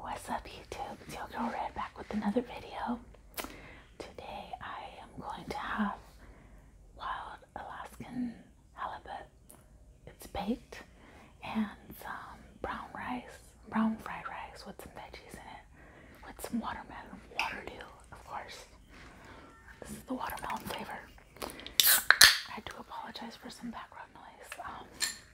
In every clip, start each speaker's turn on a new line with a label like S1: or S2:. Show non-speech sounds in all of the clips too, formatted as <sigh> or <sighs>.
S1: What's up YouTube? It's your girl Red back with another video. Today I am going to have wild Alaskan halibut. It's baked and some brown rice, brown fried rice with some veggies in it with some watermelon, waterdew of course. This is the watermelon flavor. I do apologize for some background noise. Um,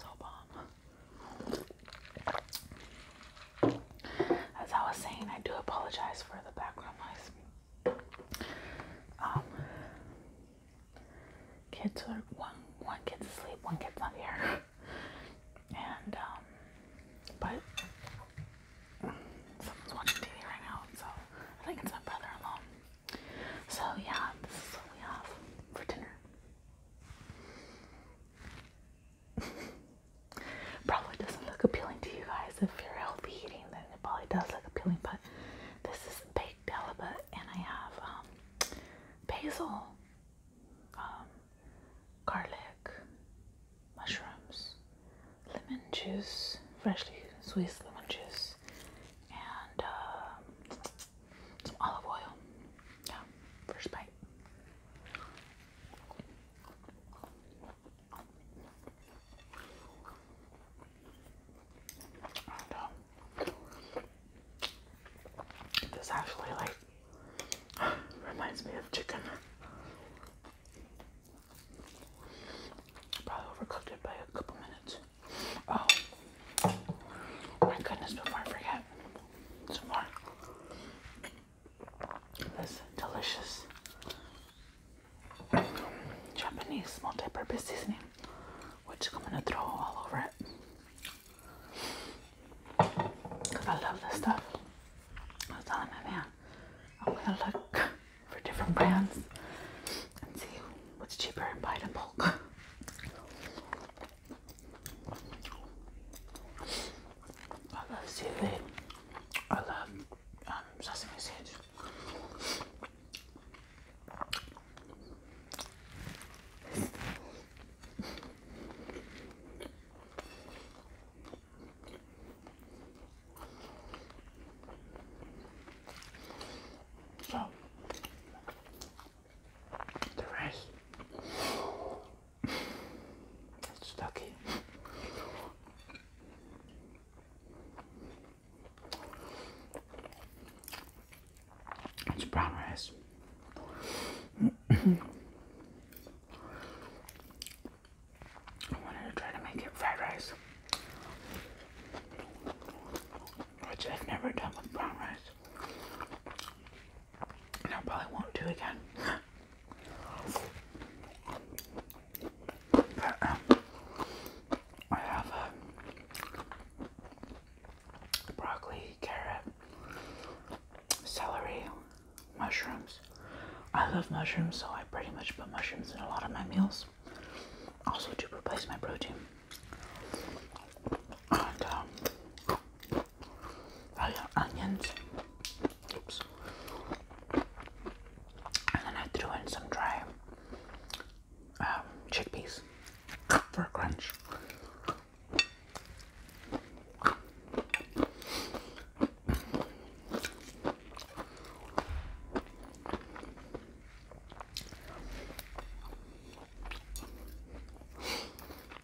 S1: So bomb. As I was saying, I do apologize for the background noise. Um, kids are one one kid's asleep, one kid's not here, and um, but someone's watching TV right now, so I think it's my brother in so yeah, this is what we have for dinner. <laughs> probably doesn't look appealing to you guys if you're healthy eating, then it probably does look appealing. But this is baked halibut, and I have um, basil, um, garlic, mushrooms, lemon juice, freshly squeezed lemon juice, and um, some olive oil. Yeah, first bite. Um, this actually like <sighs> reminds me of chicken. Probably overcooked it by a couple minutes. Oh, my goodness, before I forget, some more. This delicious Japanese multi-purpose seasoning, which I'm gonna throw all over it. Cause I love this stuff. I was telling my man, I'm gonna look for different brands and see what's cheaper and buy it in bulk. I love seaweed. I love um, sesame seeds. So the rest it's stuck It's brown rice. I wanted to try to make it fried rice, which I've never done with brown rice, I probably won't do again. But um, I have broccoli, carrot, celery, mushrooms. I love mushrooms, so I pretty much put mushrooms in a lot of my meals. Also to replace my protein. I got um, oh onions. And then I threw in some dry um, chickpeas for a crunch.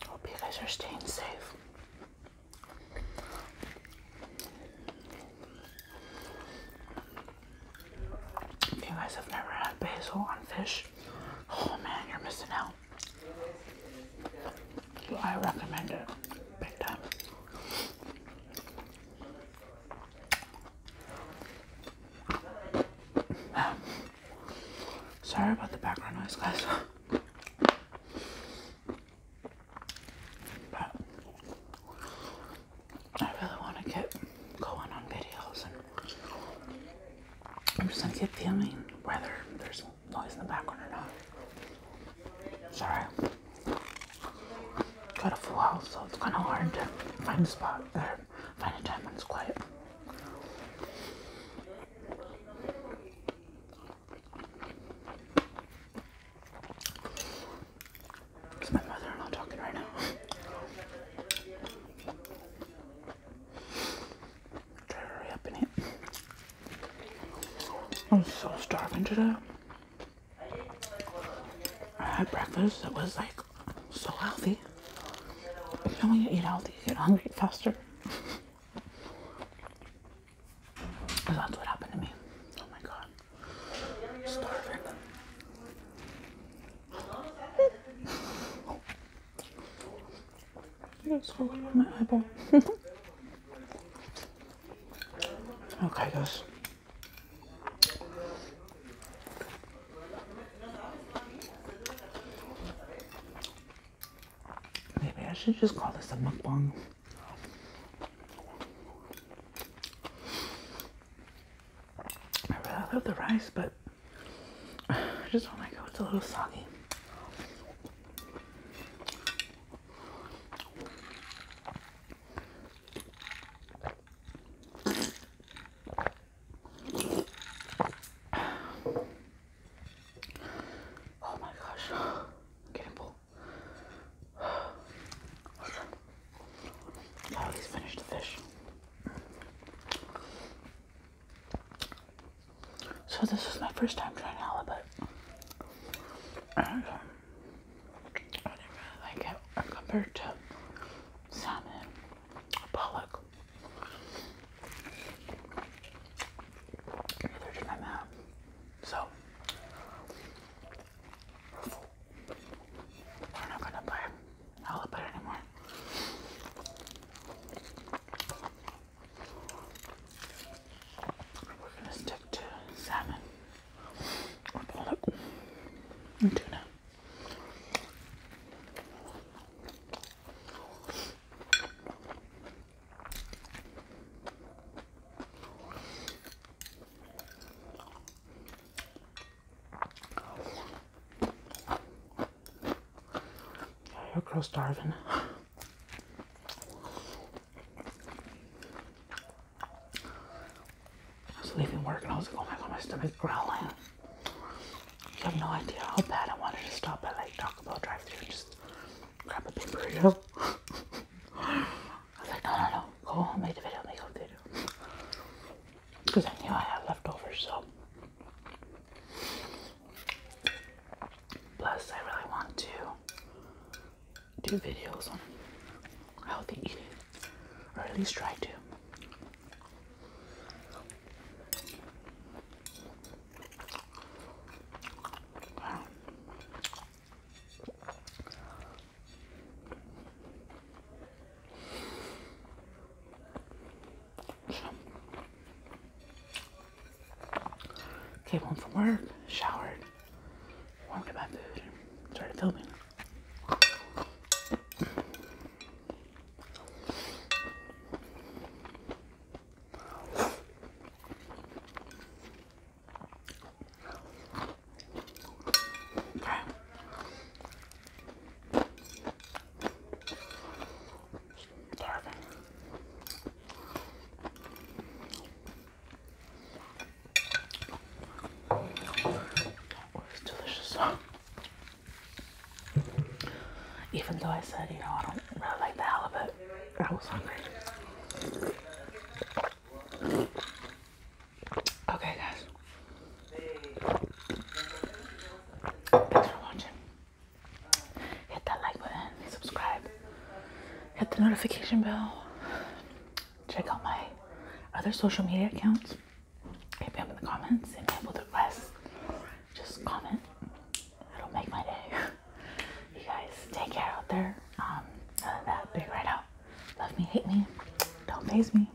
S1: Hope you guys are staying safe. If you guys have never had basil on fish, oh man, you're missing out. I recommend it big <sighs> Sorry about the background noise, guys. But I really want to get going on videos, I'm just gonna keep filming whether there's noise in the background or not. Sorry. Got a full house, so it's kind of hard to find a spot or find a time when it's quiet. It's my mother and I talking right now. Try to hurry up and eat. I'm so starving today. I had breakfast that was like so healthy. You know when you eat healthy, you get hungry faster. <laughs> that's what happened to me. Oh my god. Starving. It's all on my eyeball. okay, guys. Maybe I should just call this a mukbang. I really love the rice, but <sighs> I just don't like how it's a little soggy. Oh my gosh, I'm getting full. Now he's finished the fish. So this is my first time trying halibut. I didn't really like it compared to salmon or pollock. Neither did my mom. So we're not gonna buy halibut anymore. We're going to stick to salmon or pollock and tuna. Yeah, you're I was leaving work and I was like, oh my god, my stomach's growling. You have no idea how bad I wanted to stop at like Taco Bell drive through and just grab a big burrito. <laughs> I was like, no, no, no, go home, make the video, make a video. Because I knew I had leftovers, so Plus, I really want to do videos on healthy eating, or at least try to. Came home from work, showered, warmed up my food, started filming it's delicious. Even though I said, you know, I don't really like the halibut, I was hungry. Okay, guys. Thanks for watching. Hit that like button, subscribe, hit the notification bell. Check out my other social media accounts. Hit me up in the comments and people the rest. Just comment. It'll make my day. <laughs> You guys take care out there. Um, that, big right out. Love me, hate me, don't phase me.